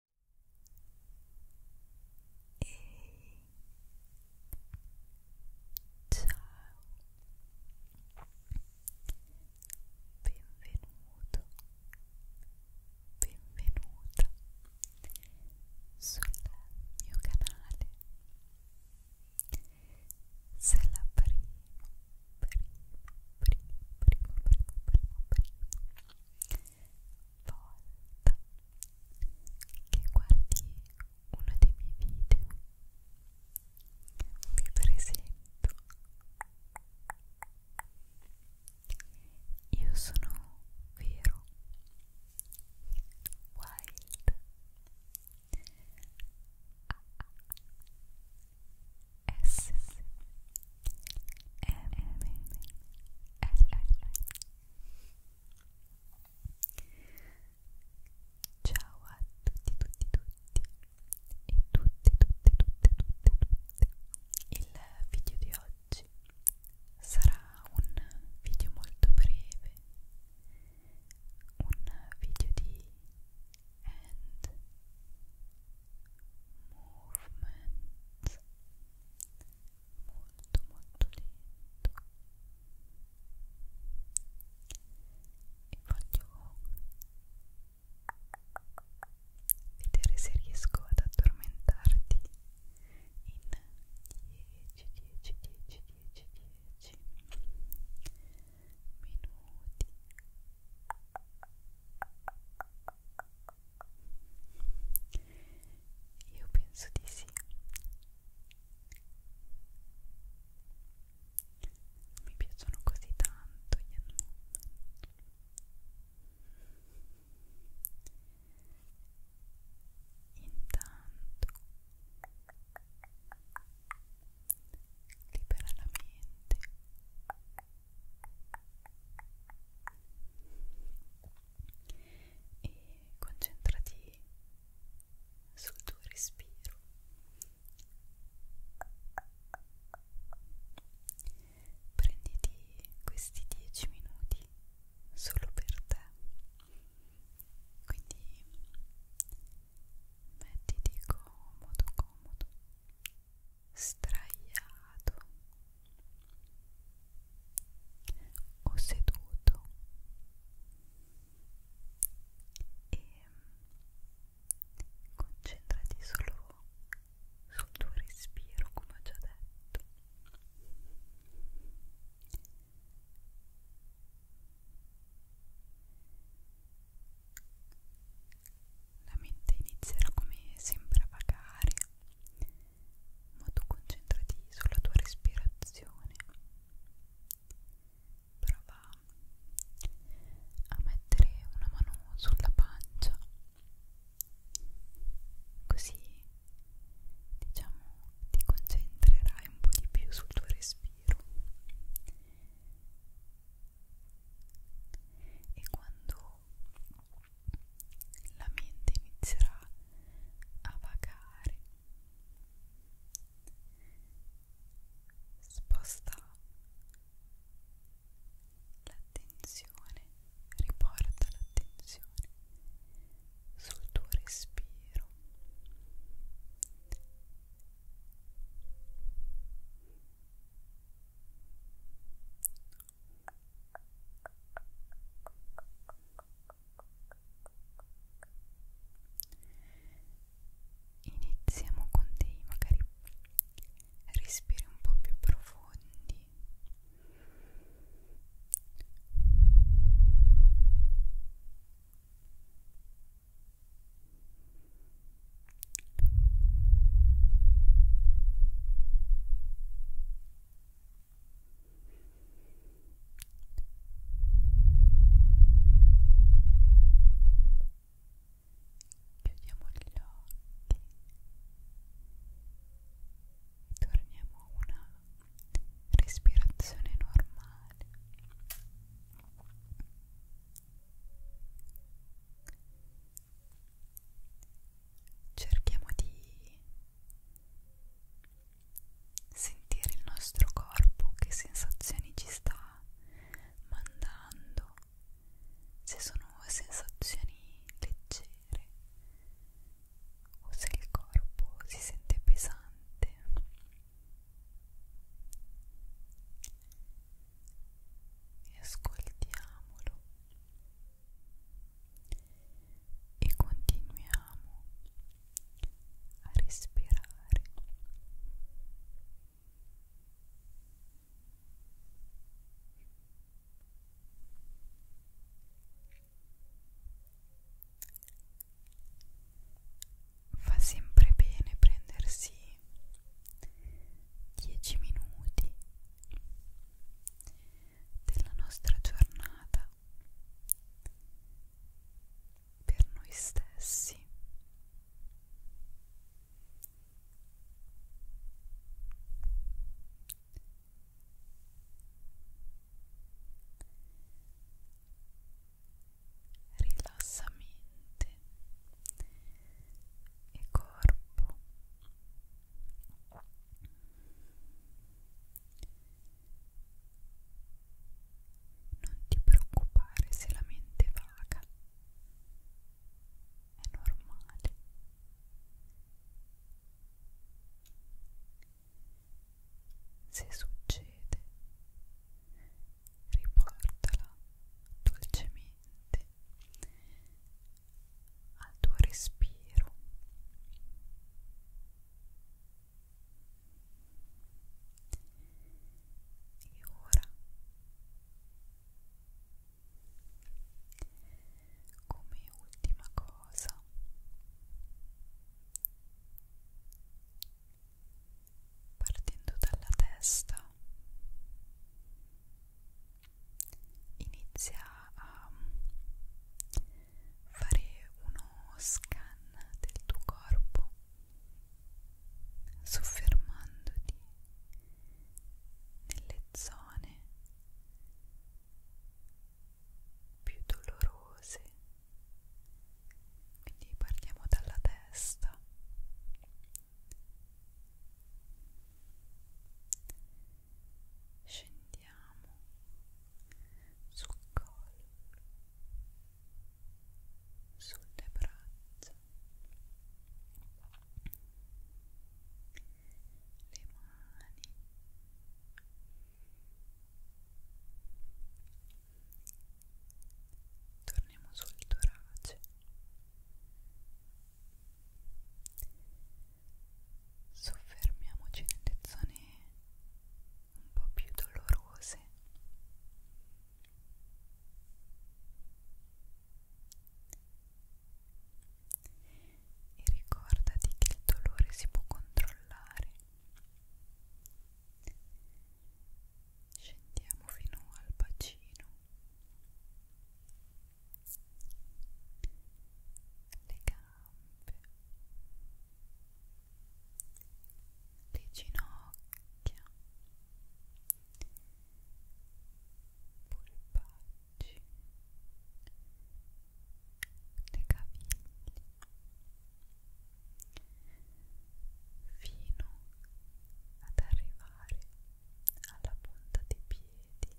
benvenuto, benvenuta sul mio canale. Se volta che guardi uno dei miei video vi presento io sono vero wild ah, ah. S M Ciao a tutti tutti tutti e tutte tutte tutte tutte tutte il video di oggi sarà un video molto breve un video di end movement molto molto lento e voglio vedere se riesco ad addormentarti in 10 10 10 10 10 minuti 9 8 7 6 5 4 3 2 1 io penso di sì. Mi piacciono così tanto gli annulli. Intanto libera la mente e concentrati sul tuo respiro prenditi questi 10 minuti solo per te quindi mettiti comodo comodo straiato o seduto e mm, concentrati solo sul tuo respiro come ho già detto la mente inizierà come sempre a vagare, ma tu concentrati sulla tua respirazione. Prova a mettere una mano sulla pancia, così diciamo ti concentrerai un po' di più sul tuo respiro e quando la mente inizierà a vagare sposta l'attenzione riporta l'attenzione sul tuo respiro Iniziamo con dei magari respiri un po' più profondi. Chiudiamo gli occhi e torniamo a una respirazione normale. Cerchiamo di sentire il nostro corpo, che sensazioni ci sta mandando, se sono sensazioni leggere o se il corpo si sente pesante e ascoltiamolo e continuiamo a respirare fa sempre bene prendersi 10 minuti della nostra giornata per noi stessi rilassa mente e corpo non ti preoccupare se la mente vaga è normale se succede riportala dolcemente al tuo respiro e ora come ultima cosa partendo dalla testa inizia a fare uno scan del tuo corpo soffermandoti nelle zone più dolorose quindi partiamo dalla testa scendiamo sul collo sulle braccia le mani torniamo sul torace soffermiamoci nelle zone un po' più dolorose e ricordati che il dolore si può controllare scendiamo fino al bacino le gambe le ginocchia polpacci le caviglie fino ad arrivare alla punta dei piedi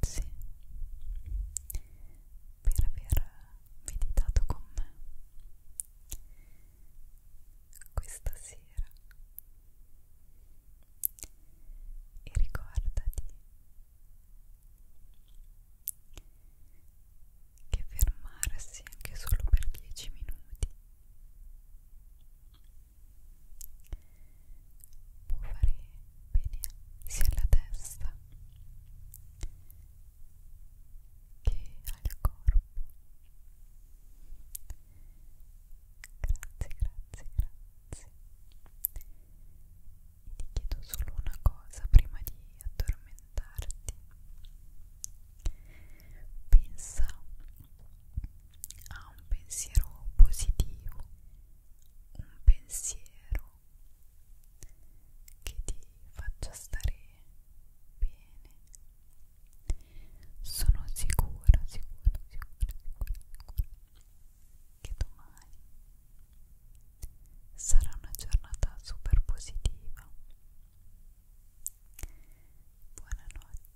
Grazie per aver meditato con me questa sera e ricordati che fermarsi anche solo per 10 minuti può fare bene sia alla testa che ha il corpo. Grazie, grazie, grazie. E ti chiedo solo una cosa prima di addormentarti. Pensa a un pensiero positivo, un pensiero modo che ti faccia stare bene. Sono sicura, sicura, sicura, sicura, sicura che domani sarà una giornata super positiva. Buonanotte.